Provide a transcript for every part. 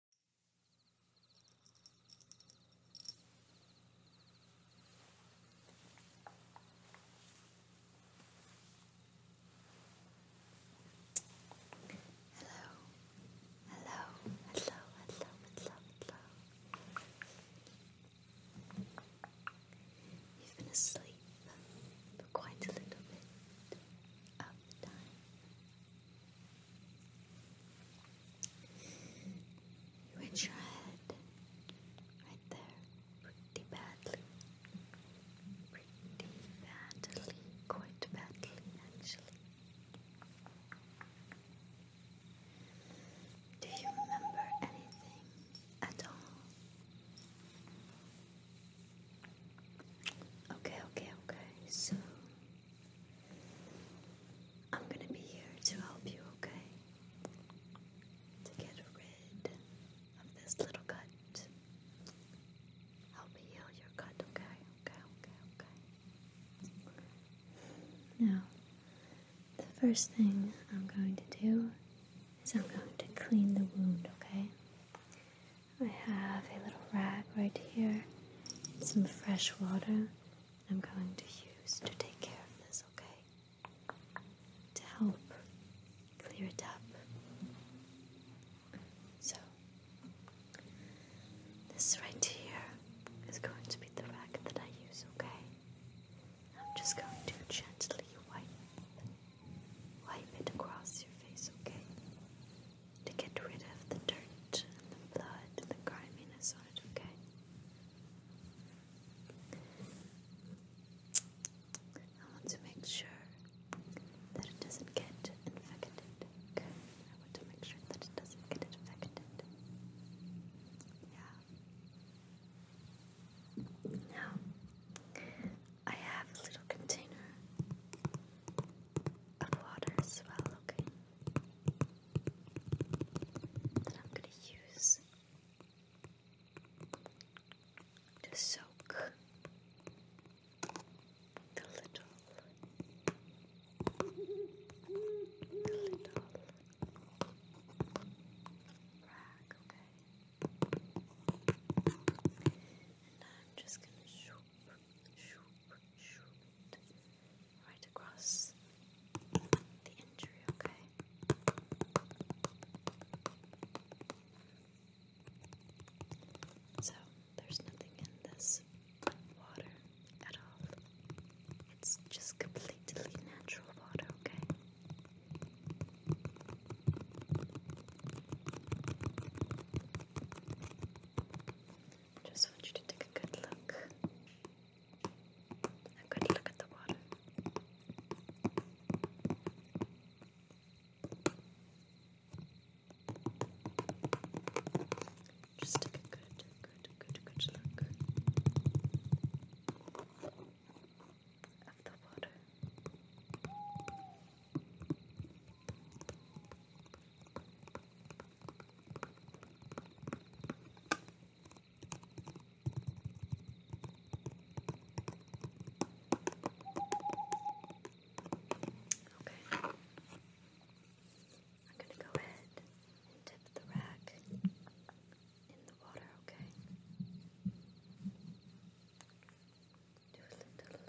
Hello, hello, hello, hello, hello, hello. You've been asleep for quite a little bit of time. You hit your head right there pretty badly. Pretty badly. Quite badly, actually. Do you remember anything at all? Okay, okay, okay. So I'm going to be here to help you, okay? To get rid of this little cut. Help heal your cut, okay? Okay, okay, okay. Now, the first thing I'm going to do is I'm going to clean the wound, okay? I have a little rag right here some fresh water I'm going to use to take care of this, okay? To help clear it up. So, this right here is going to be the rag that I use, okay? I'm just going to gently wipe, wipe it across your face, okay? to get rid of the dirt the blood the griminess on it, okay? I want to make sure that it doesn't get infected, okay? I want to make sure that it doesn't get infected. Yeah. Now, I have a little container on water as well, okay? Then I'm gonna use to soak the little, rag, okay? And I'm just gonna shoop, shoop, right across the injury, okay? So, there's nothing in this water at all. It's just completely natural water, okay? Just want you to take a good look. A good look at the water. Just take a good, good, good, good look of the water. Okay. I'm going to go ahead and dip the rack in the water, okay? Do a little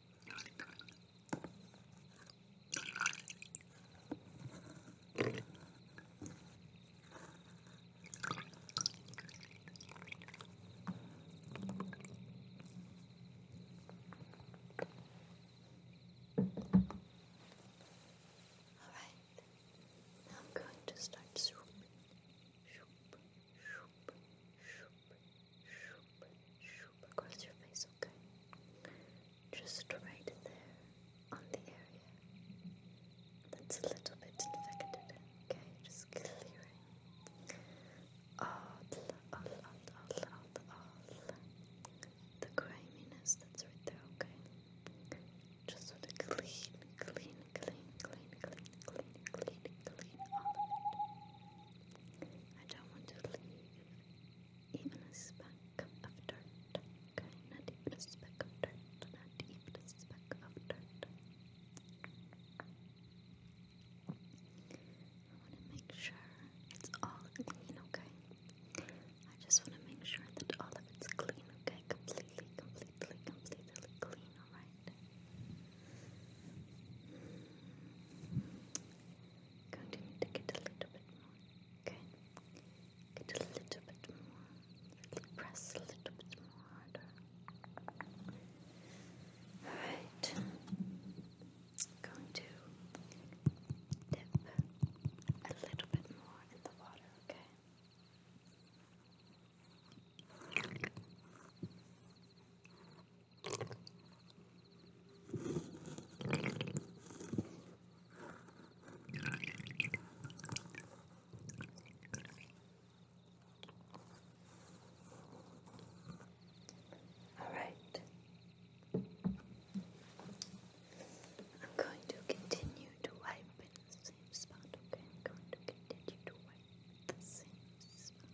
Alright, now I'm going to start swooping. Shoop, shoop, shoop, shoop, shoop across your face, okay? Just right there on the area that's a little bit infected, okay? Just clearing all, all, the griminess that's right there, okay? Just sort clean, clean, clean, clean, clean, clean, clean, clean I don't want to leave even a speck of dirt. Okay, not even a speck of dirt. Not even a speck of dirt. I want to make sure it's all clean, okay? I just want to make sure that all of it's clean, okay? Completely, completely, completely clean, alright? going to get a little bit more. Okay? Get a little bit more. Press a little bit more harder. Alright. Going to dip a little bit more in the water, Okay. All right. I'm going to continue to wipe in the same spot, okay? I'm going to continue to wipe the same spot.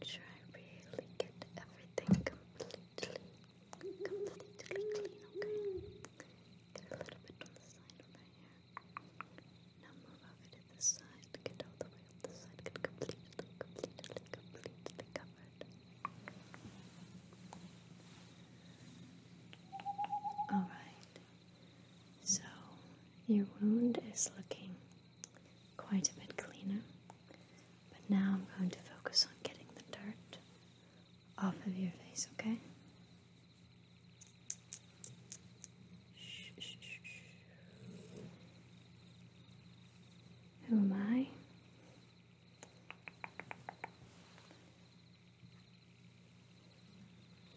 Make sure I really get everything completely, completely clean, okay? Get a little bit on the side over here. Now move over to the side, get all the way up the side, get completely, completely, completely covered. Alright, so your wound is looking quite a bit cleaner. But now I'm going to focus on getting the dirt off of your face, okay? Who am I?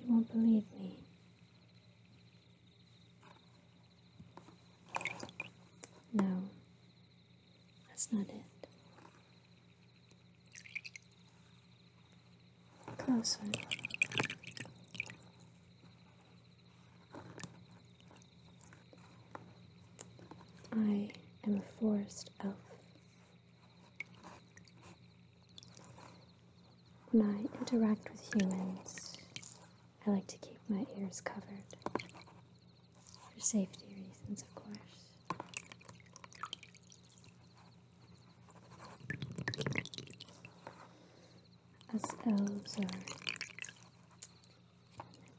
You won't believe me no, that's not it. Closer. I am a forest elf. When I interact with humans, I like to keep my ears covered for safety reasons, of course. as elves are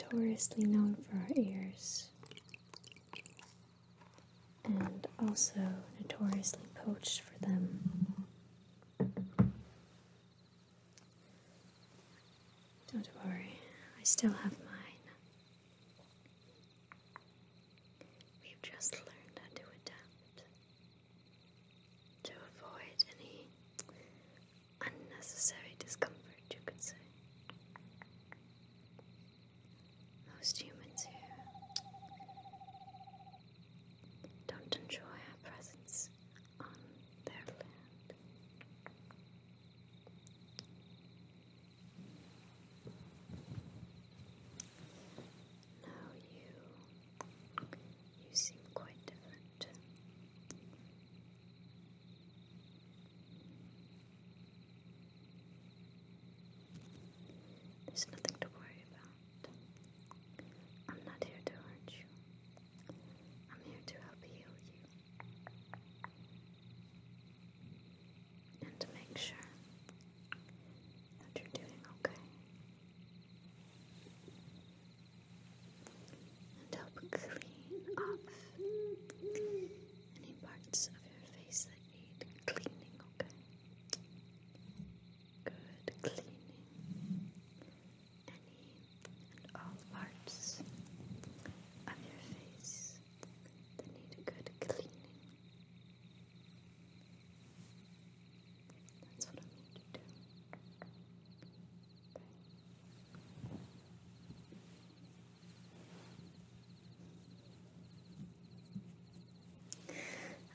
notoriously known for our ears and also notoriously poached for them. Don't worry, I still have mine. We've just learned how to adapt, to avoid any unnecessary discomfort, you could say. Most humans here don't enjoy our presence on their land. Now you, you seem quite different. There's nothing to worry about. I'm not here to hurt you. I'm here to help heal you and to make sure that you're doing okay and help clean up any parts of your face that need cleaning, okay? Good cleaning any and all parts of your face that need a good cleaning. That's what I'm going to do.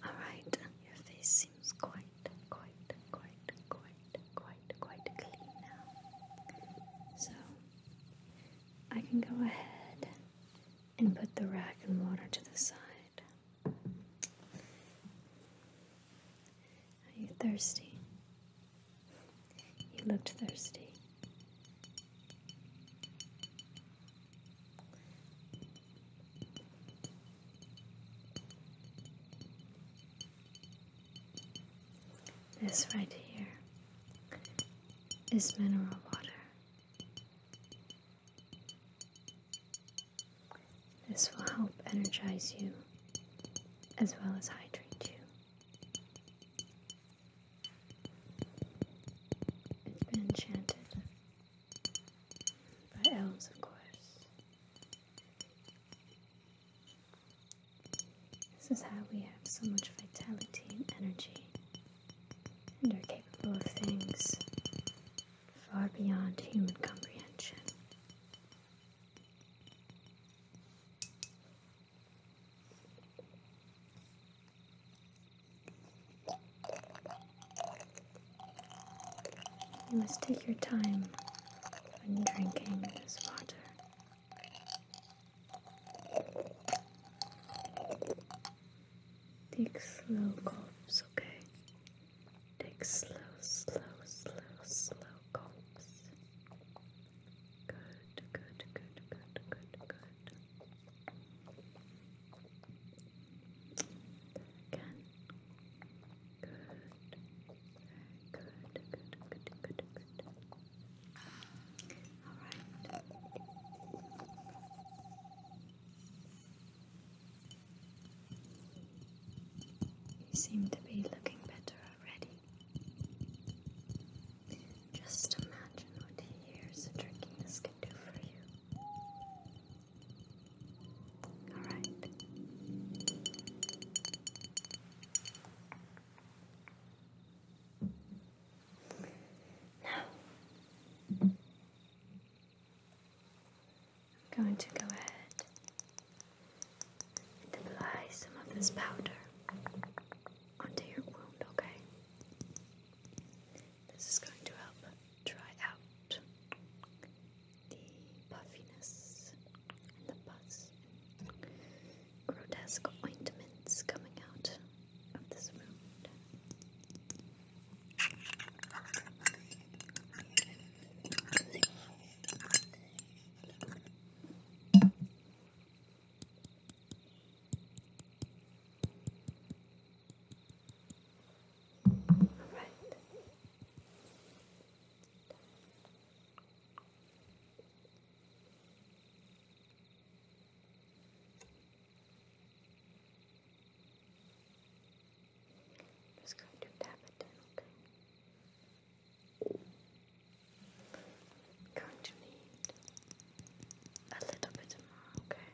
All right, your face seems quite, quite, quite, quite quite, quite, clean now. So I can go ahead and put the rack and water to the side. Are you thirsty? You looked thirsty. This right here is mineral water. This will help energize you as well as hydrate you. It's been enchanted by elves, of course. This is how we have so much vitality and energy and are capable of things far beyond human comprehension. You must take your time when drinking this water. Take slow gulps, okay? Take slow, slow, slow, slow gulps. Good, good, good, good, good, good. Again. Good, good, good, good, good. All right. You seem to be looking better already. Just imagine what years of drinking this could do for you. Now, I'm going to go ahead and apply some of this powder onto your wound, okay? This is going to help dry out the puffiness and the pus, grotesque ointments coming out of this wound. All right. I'm just going to tap it in, okay? going to need a little bit more, okay?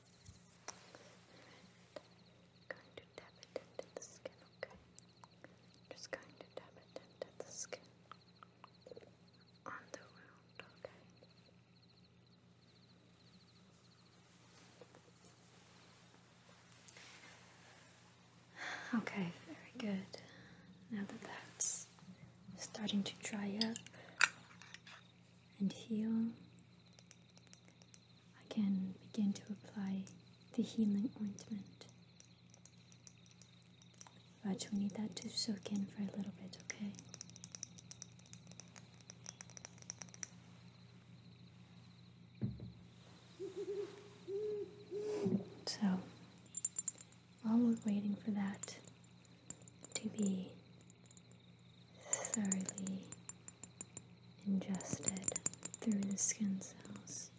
Right. Going to tap it into the skin, okay? Just going to tap it into the skin on okay? Okay, very good. Now that that's starting to dry up, and heal, I can begin to apply the healing ointment. But we need that to soak in for a little bit, okay? So, while we're waiting for that to be thoroughly ingested through the skin cells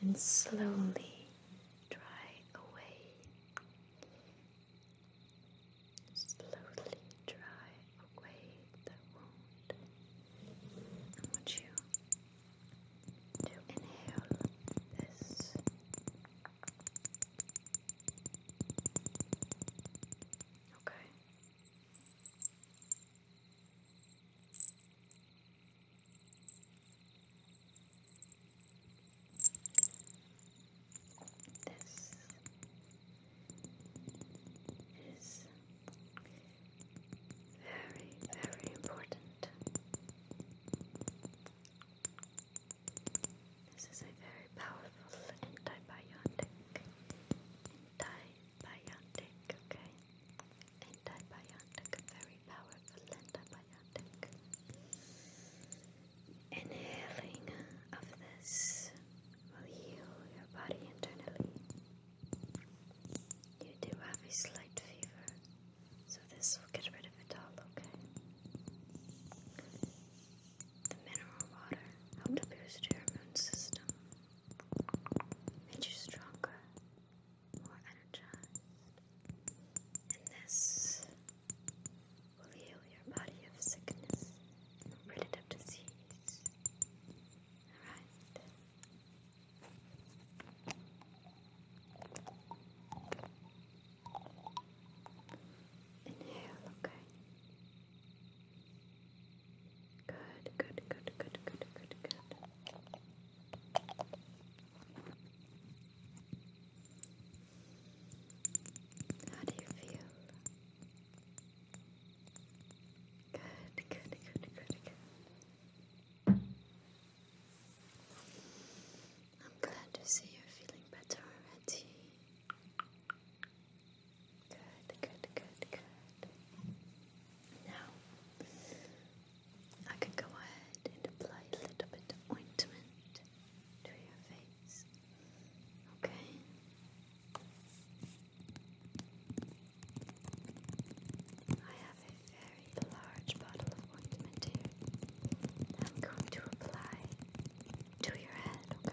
and slowly dry away. Slowly dry away the wound. I want you to inhale this Okay. This is very, very important. This is a very powerful antibiotic. Antibiotic, okay? Antibiotic, very powerful antibiotic. Inhaling of this will heal your body internally. You do have a slight fever, so this will get rid of it all, okay? The mineral water helped to boost your immune system, made you stronger, more energized, and this will heal your body of sickness rid it of disease. Alright? Inhale, okay. Good, good, good, good, good, good, How do you feel? Good, good, good, good, good. I'm glad to see you're feeling better already. Good, good, good, good. Now, I can go ahead and apply a little ointment to your face. Okay? I have a very large bottle of ointment here I'm going to apply to your head, okay?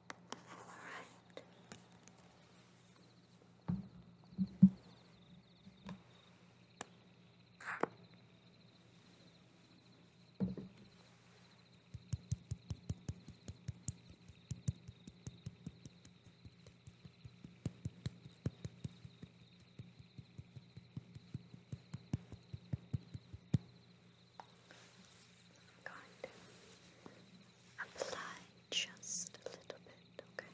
Alright. I'm going to Apply just a little bit, okay?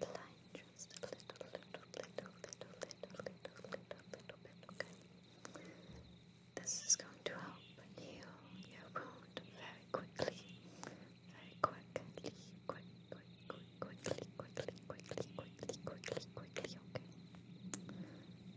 Apply just a little, little, little, little, little, little, little bit, okay? This is going to help heal your wound very quickly, very quickly, quick, quick, quick, quickly, quickly, quickly, quickly, quickly, quickly, okay?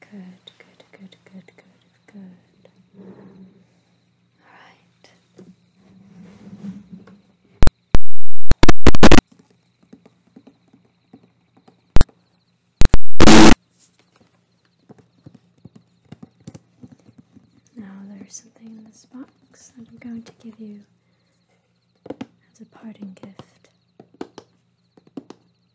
Good, good, good, good, good, good. All right. Now there's something in this box that I'm going to give you as a parting gift.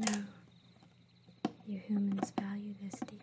I know you humans value this deeply.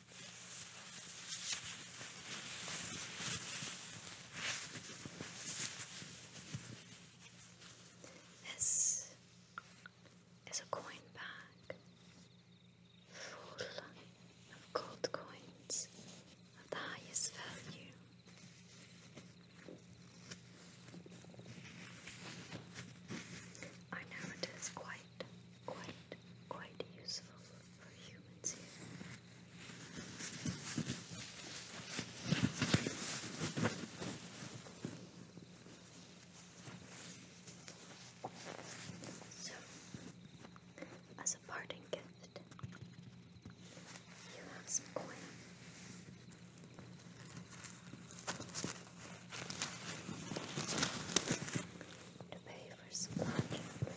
This is a coin bag full of gold coins of highest value. I know it is quite, quite, quite useful for humans here. So, as a parting gift, you have some coin. To pay for some lodging food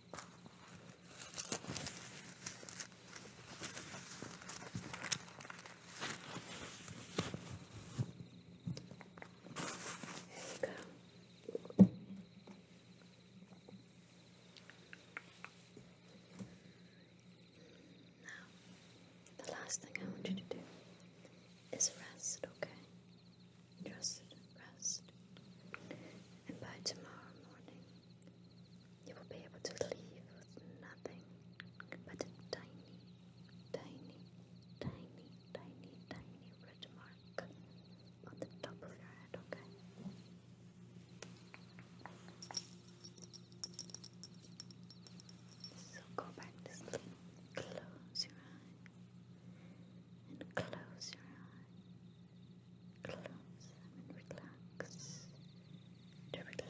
Now, the last thing I want you to do is rest, okay? Just rest. And by tomorrow morning, you will be able to leave with nothing but a tiny, tiny, tiny, tiny, tiny red mark on the top of your head, okay? So go back to sleep, close your eyes, and close your eyes. Close them and relax. To relax.